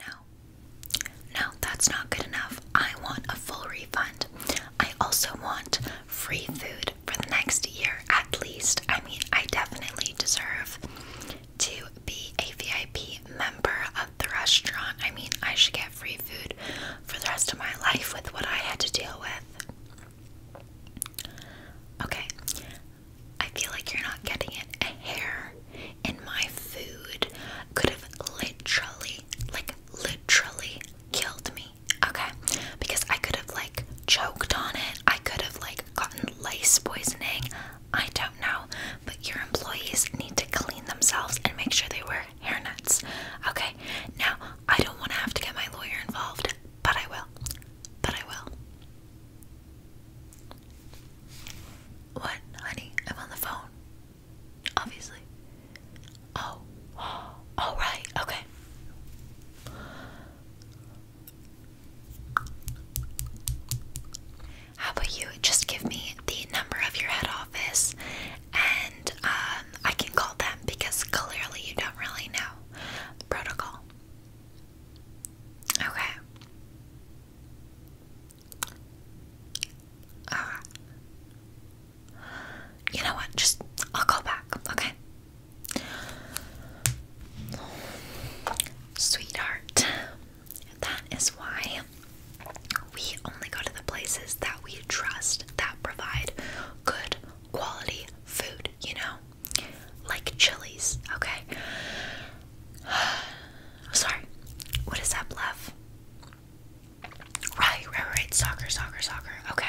No, no, that's not good enough. I want a full refund. I also want free food for the next year at least. I mean, I definitely deserve to be a VIP member of the restaurant. I mean, I should get free food for the rest of my life with what I had to deal with. Okay, I feel like you're not getting it. A hair and my food could have literally, like, literally killed me, okay? Because I could have, like, choked on it, I could have, like, gotten lice poisoning. I don't know, but your employees need to clean themselves and make sure they wear hairnets, okay? Now, I don't want to have to get my lawyer involved, but I will. But I will. What, honey? I'm on the phone. Obviously. Oh. Oh, Okay. How about you just give me the number of your head office and um, I can call them because clearly you don't really know protocol. Okay. You know what? Just I'll call back, okay? Sweetheart, that is why we only go to the places that we trust that provide good quality food, you know? Like Chili's, okay? Sorry. What is that love? Right, right, right. Soccer, soccer, soccer. Okay.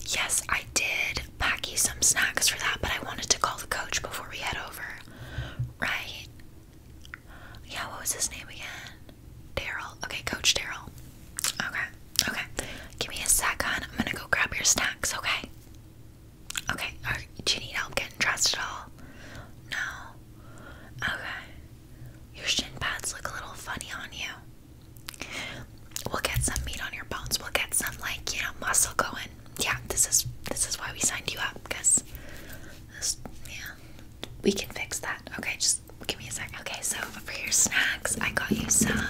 Yes, I did pack you some snacks for that, but I wanted to call the coach before we head over. Right? Yeah, what was his name again? Daryl. Okay, Coach Daryl. Okay, okay. Give me a second. I'm gonna go grab your snacks, okay? Okay, do you need help getting dressed at all? No. Okay. Your shin pads look a little funny on you. We'll get some meat on your bones. We'll get some like, you know, muscle going. Yeah, this is this is why we signed you up, because yeah. We can fix that. Okay, just give me a sec. Okay, so for your snacks, I got you some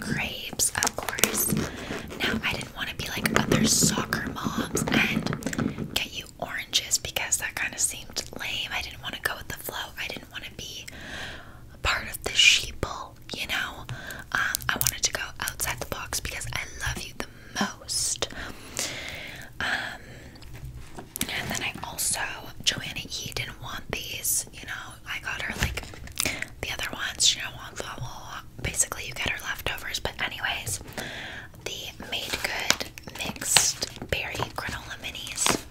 grapes, of course. Now, I didn't want to be like other soccer moms and get you oranges because that kind of seemed lame. I didn't want to go with the flow. I didn't want to be part of the sheeple, you know? Um, I wanted to go outside the box because I love you the most. Um, and then I also, Joanna E didn't want these, you know? I got her like the other ones, You didn't want blah basically you get our leftovers. But anyways, the Made Good Mixed Berry Granola Minis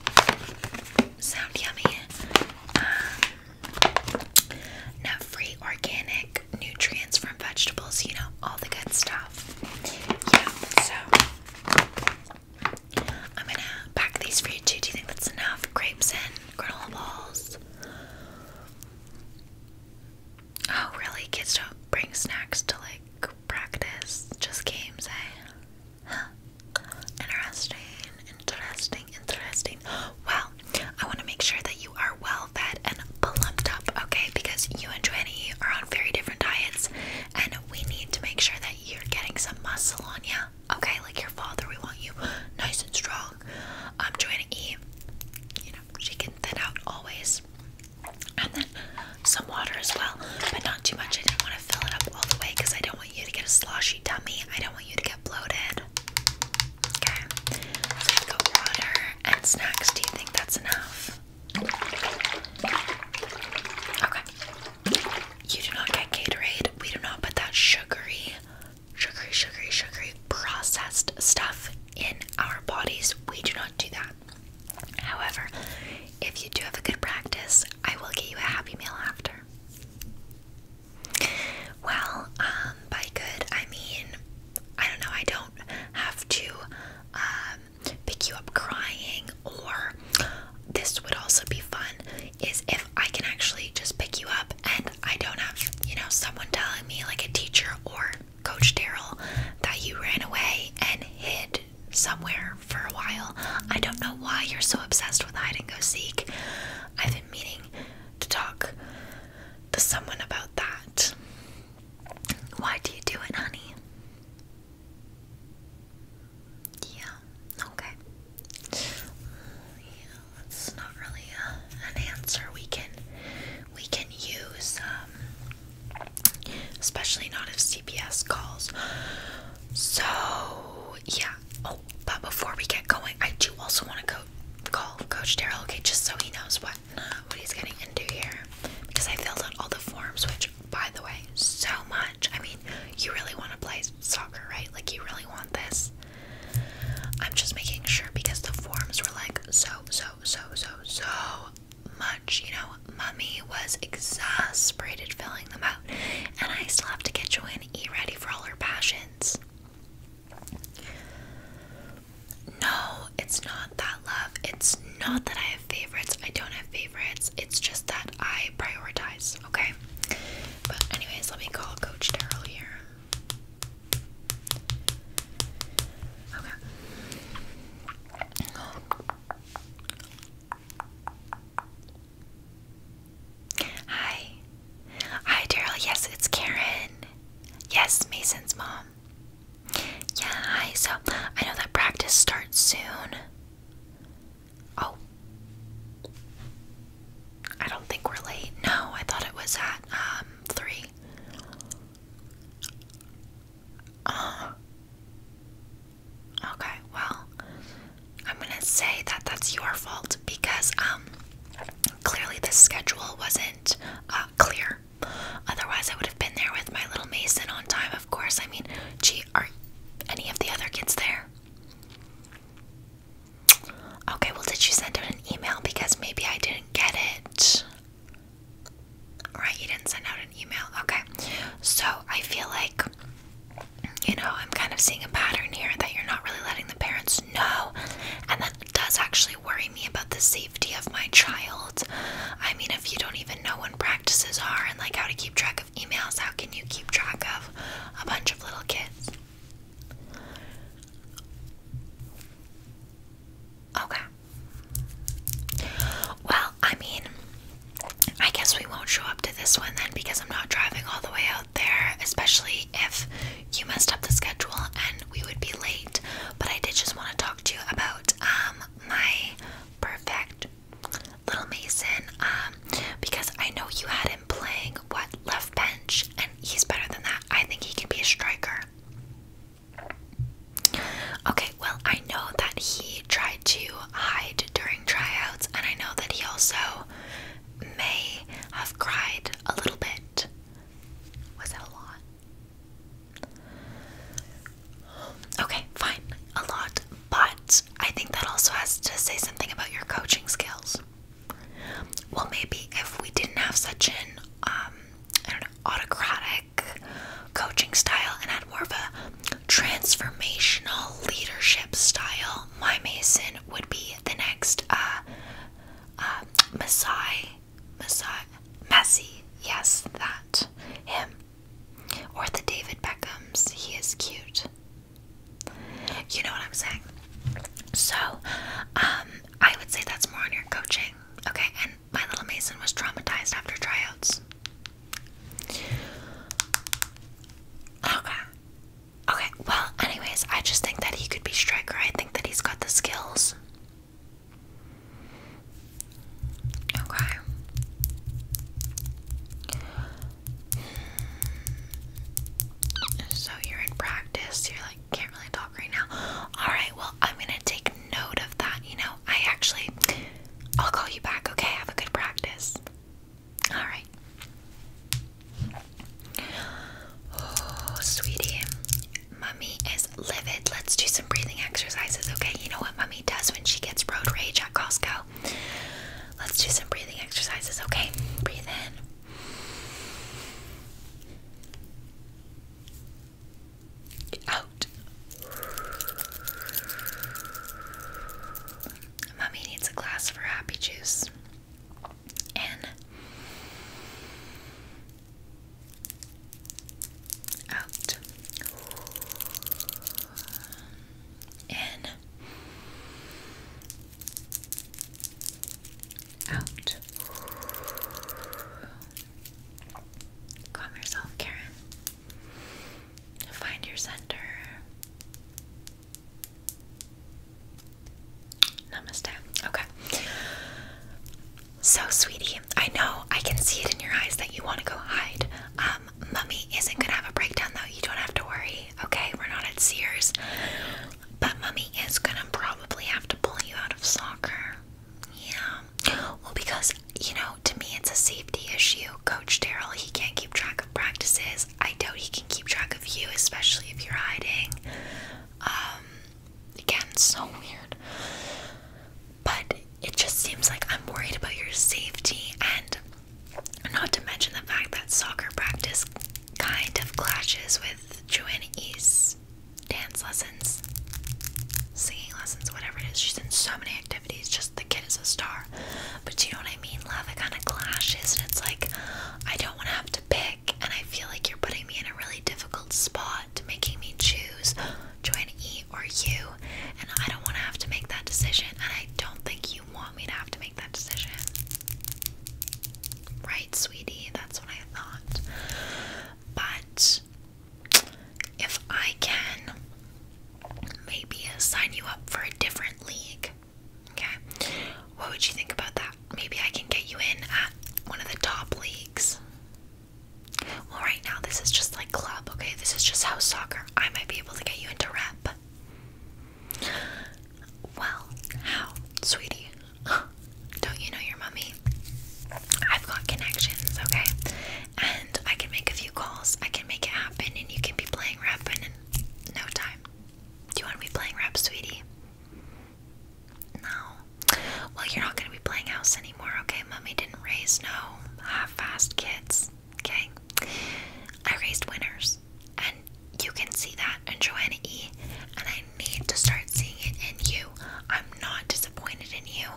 sound yummy. Um, free organic nutrients from vegetables, you know, all the good stuff. Yeah, so I'm gonna pack these for you too. Do you think that's enough? Grapes and granola balls. Oh, really? Kids don't bring snacks to like practice, just games, eh? Interesting, interesting, interesting. Well, I want to make sure that you are well fed and plumped up, okay? Because you and Joannie are on very different diets, and we need to make sure that you're getting some muscle on you, okay? Like your father, we want you nice and strong I'm Joanna E, you know, she can thin out always. And then some water as well, but not too much. I didn't want to fill it up all the way because I don't want you to get a sloshy tummy. I don't want you to get bloated. Okay, so water and snacks. Do you think that's enough? Okay. You do not get Gatorade. We do not put that sugary sugary, sugary, sugary processed stuff in our bodies. We do not do that. However, if you do have a good practice, I will get you a happy meal after. Well, um, by good, I mean, I don't know, I don't have to um, pick you up crying, or this would also be fun is if I can actually just pick you up and I don't have, you know, someone telling me, like a teacher or Coach Daryl, that you ran away and hid somewhere for a while. I don't know why you're so obsessed with hide and go seek. I've been meaning to talk to someone about that. Why do you do it, honey? Yeah, okay. Yeah, that's not really a, uh, an answer we can we can use, um, especially not if CPS calls. So yeah. Oh, but before we get going, I do also want to go call Coach Daryl. Okay, just so he knows what what he's getting into here, because I filled out all the forms, which by the way, so much. I mean, you really want to play soccer, right? Like you really want this. I'm just making sure because the forms were like so, so, so, so, so much. You know, Mummy was exasperated filling them out, and I still have to get Joanne E ready for all her passions. No, it's not that love. It's not that I have favorites. I don't have favorites. It's just that I prioritize, okay? But anyways, let me call Coach Daryl here. Hi. Hi, Daryl. Yes, it's Karen. Yes, Mason's mom. Yeah, hi. So, I know that practice starts soon. Oh. I don't think we're late. No, I thought it was at um three. Uh, okay, well, I'm gonna say that that's your fault because um clearly the schedule wasn't uh, clear. Otherwise, I would have been there with my little Mason on time. Of course, I mean, gee, are any of the other kids there? Okay, well, did you send out an email? Because maybe I didn't get it. Right, you didn't send out an email. Okay, so I feel like, you know, I'm kind of seeing a pattern here that you're not really letting the parents know, and that does actually worry me about the safety of my child. I mean, if you don't even know when practices are and like how to keep track of emails, how can you keep track of a bunch of little kids? Okay. Well, I mean, I guess we won't show up to this one then because I'm not driving all the way out there, especially if you messed up the schedule and we would be late. But I did just want to talk to you about um my perfect little mason um because I know you had him playing what left bench, and he's better than that. I think he can be a striker. Okay, well, I know that he tried to hide during tryouts, and I know that he also may have cried a little bit. Was that a lot? Okay, fine, a lot, but I think that also has to say something about your coaching skills. Well, maybe if we didn't have such um, an autocratic coaching style and had more of a transformational leadership style, my Mason would be the next uh, uh, Masai, Masai, Messi. Yes, that him or the David Beckham's. He is cute. You know what I'm saying? So, um, I would say that's more on your coaching. Okay, and my little Mason was traumatized after tryouts. Okay. Okay, well, anyways, I just think that he could be striker. I think that he's got the skills. Okay. So you're in practice, you're like, can't really talk right now. Alright, well, I'm gonna take note of that. You know, I actually, I'll call you back, okay? Have a good practice. Alright. Oh, sweetie, mummy is livid. Let's do some breathing exercises, okay? You know what mummy does when she gets road rage at Costco? Let's do some breathing exercises, okay? Breathe in. Out. Mummy needs a glass of her happy juice. In. Out. In. Out. Calm yourself, Karen. Find your center. Namaste. Okay. So, sweetie, I know I can see it in your eyes that you want to go hide. Um, mummy isn't gonna have a breakdown though. You don't have to worry. Okay, we're not at Sears. But Mummy is gonna probably have to pull you out of soccer. Yeah. Well, because, you know, to me it's a safety issue. Coach Daryl, he can't keep track of practices. I doubt he can keep track of you, especially if you're hiding. Um, again, so weird. But it just seems like I'm worried about your safety and not to mention the fact that soccer practice kind of clashes with Juani's dance lessons, singing lessons, whatever it is. She's in so many activities, just the kid is a star. But you know what I mean, love? It kind of clashes, and it's like, I don't want to have to pick, and I feel like you're putting me in a really difficult spot, making me choose Joanne E or you, and I don't want to have to make that decision, and I don't think you you want me to have to make that decision. Right, sweetie? That's what I thought. But if I can maybe sign you up for a different league, okay? What would you think about that? Maybe I can get you in at one of the top leagues. Well, right now, this is just like club, okay? This is just house soccer. I might be able to get you into rep. Well, how, sweetie? Don't you know your mummy? I've got connections, okay? And I can make a few calls, I can make it happen, and you can be playing rep in no time. Do you want to be playing rep, sweetie? No. Well, you're not going to be playing house anymore, okay? Mummy didn't raise no half fast kids. Okay? I raised winners. And you can see that in Joanna E. And I need to start seeing it in you. I'm not disappointed in you.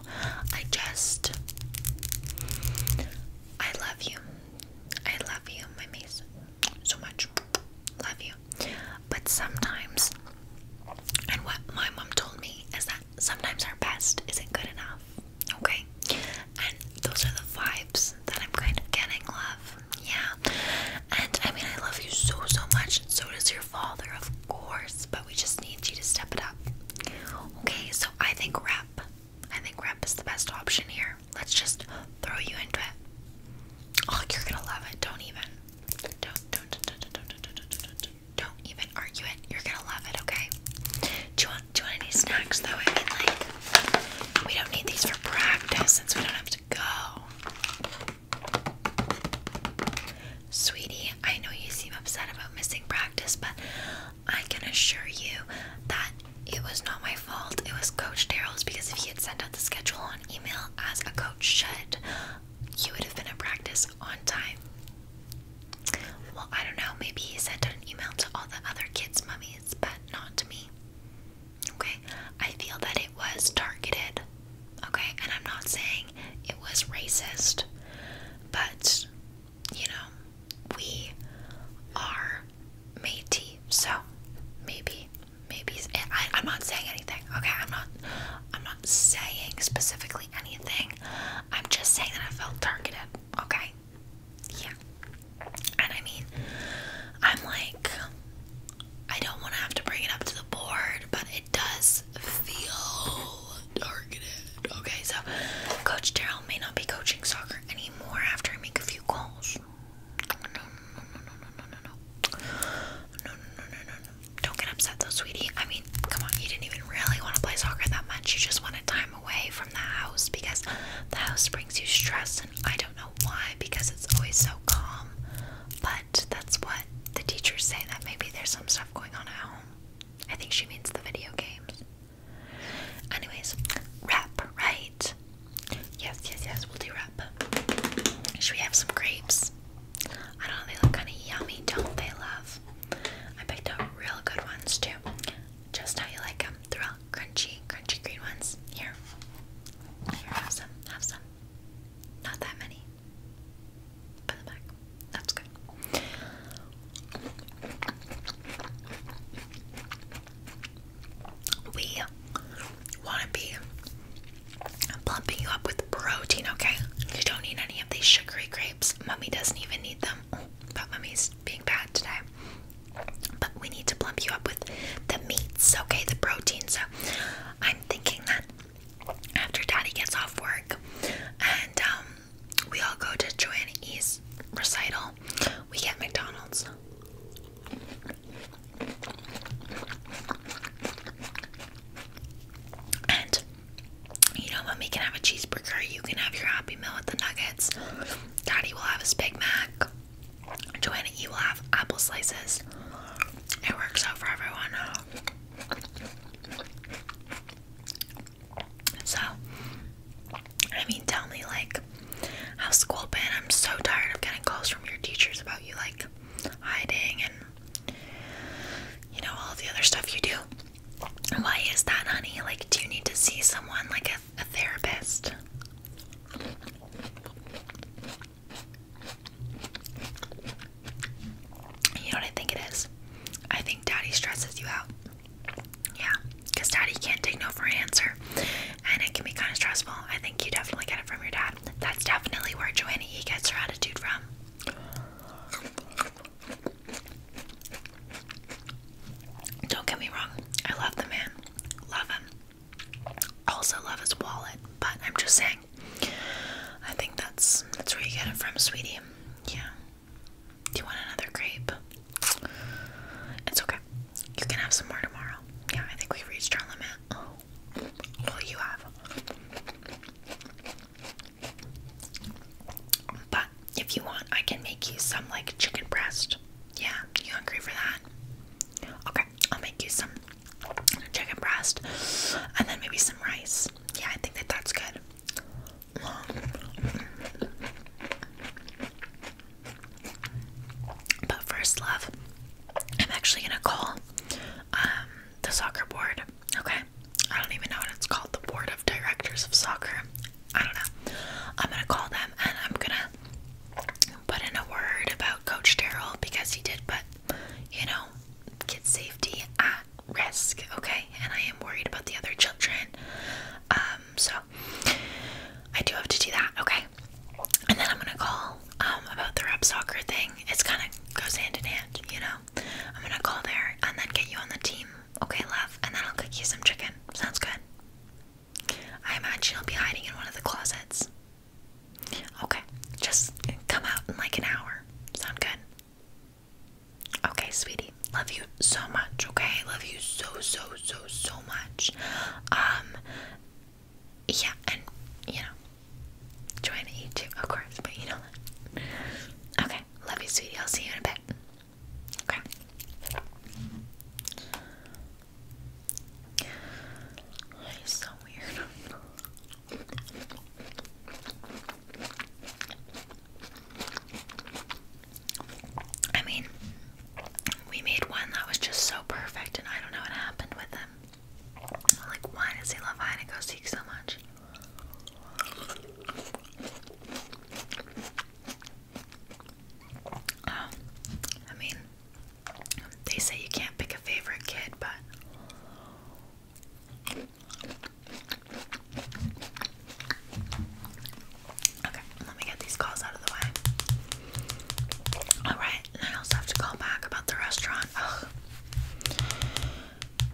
I just. I love you. I love you, my Mason. So much. Love you. But sometimes. And what my mom told me is that sometimes our best isn't good enough. Okay? and those are the vibes that I'm kind of getting, love. Yeah. And I mean, I love you so, so much, and so does your father, of course, but we just need you to step it up. Okay, so I think rep. I think rep is the best option here. Let's just throw you into it. Oh, you're gonna love it. Don't even. Don't, don't, don't, don't, don't, don't, don't, don't, don't, even argue it. You're gonna love it, okay? Do you do you want any snacks though? I mean like we don't need these for practice since we don't have to go. Sweetie, I know you seem upset about missing practice, but I can assure you that it was not my fault. It was Coach Daryl's because if he had sent out the schedule on email as a coach should, you would have been at practice on time. Well, I don't know. Maybe he sent an email to all the other kids' mummies but not to me. Okay? I feel that it was targeted. Okay? And I'm not saying it was racist, but you know, we are Metis, so maybe, maybe I, I'm not saying anything. Okay, I'm not, I'm not saying specifically anything. I'm just saying that I felt targeted. Okay, yeah. And I mean, I'm like, I don't want to have to bring it up to the board, but it does feel targeted. Okay, so Coach Terrell may not be coaching soccer anymore after I make a few calls. No, no, no, no, no, no, no, no. No, no, no, no, no. Don't get upset though, sweetie. I mean, come on, you didn't even really want to play soccer that much. You just wanted time time away from the house because the house brings you stress, and I don't know why because it's always so calm. But that's what the teachers say that maybe there's some stuff going on at home. I think she means the video games. Anyways, rap, right? Yes, yes, yes, we'll do rap. Should we have some grapes? I don't know, they look kind of yummy, don't they, love? I picked up real good ones too just how you like them. They're all crunchy, crunchy green ones. Here, here, have some, have some. Not that many. Put them back. That's good. We want to be plumping you up with protein, okay? You don't need any of these sugary grapes. Mummy doesn't even need them. But Mummy's being bad today. But we need to plump you up with the meats, okay? The protein. So I'm thinking that after Daddy gets off work and um, we all go to Joanna recital, we get McDonald's. And you know, mommy can have a cheeseburger, you can have your happy meal with the nuggets. Daddy will have his Big Mac. Joanna you will have apple slices. It works out for everyone. So, I mean, tell me, like, how's school been? I'm so tired of getting calls from your teachers about you, like, hiding and, you know, all the other stuff you do. Why is that, honey? Like, do you need to see someone, like a a therapist. You know what I think it is? I think daddy stresses you out. Yeah, because daddy can't take no for an answer. And it can be kind of stressful. I think you definitely get it from your dad. That's definitely where Joanie E gets her attitude from. Don't get me wrong, I love the man. Love him. Also love his wallet, but I'm just saying. I think that's that's where you get it from, sweetie. Yeah. Do you want another grape? It's okay. You can have some more tomorrow. Yeah, I think we've reached our limit. Oh. Well, you have. But if you want, I can make you some like chicken breast. Yeah, you hungry for that? Okay, I'll make you some chicken breast and then maybe some rice. Yeah, I think that that's good. But first, love, I'm actually gonna call um, the soccer board. Okay, I don't even know what it's called. The board directors of soccer. I don't know. I'm gonna call them and I'm gonna put in a word about Coach Daryl because he did put, you know, kid safety at risk, okay? And I am worried about the other children. Um, so I do have to do that, okay? And then I'm gonna call um, about the rep soccer thing. It's kinda goes hand in hand, you know. I'm gonna call there and then get you on the team okay, love, and then I'll cook you some chicken. Sounds good. I imagine you'll be hiding in one of the closets. Okay, just come out in like an hour. Sound good? Okay, sweetie. Love you so much, okay? Love you so, so, so, so much. Um, yeah, and, you know, join you too, of course, but you know Okay, love you, sweetie. I'll see you in a bit. Okay. It's so weird. I mean, we made one that was just so perfect, and I don't know what happened with him. Like, why does he love Heineken Seek so much? I mean, they say you can't pick a favorite kid, but. Okay, let me get these calls out of the way. Alright, and I also have to call back about the restaurant. Ugh.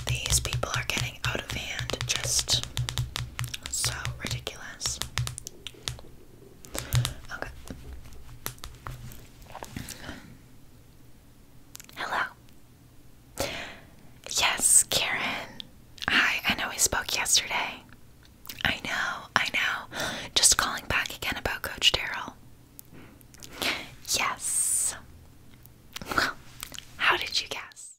These people are getting out of hand, just so ridiculous. Okay. Hello. Yes, Karen. Hi, I know we spoke yesterday. I know, I know. Just calling back again about Coach Daryl. Yes. Well, how did you guess?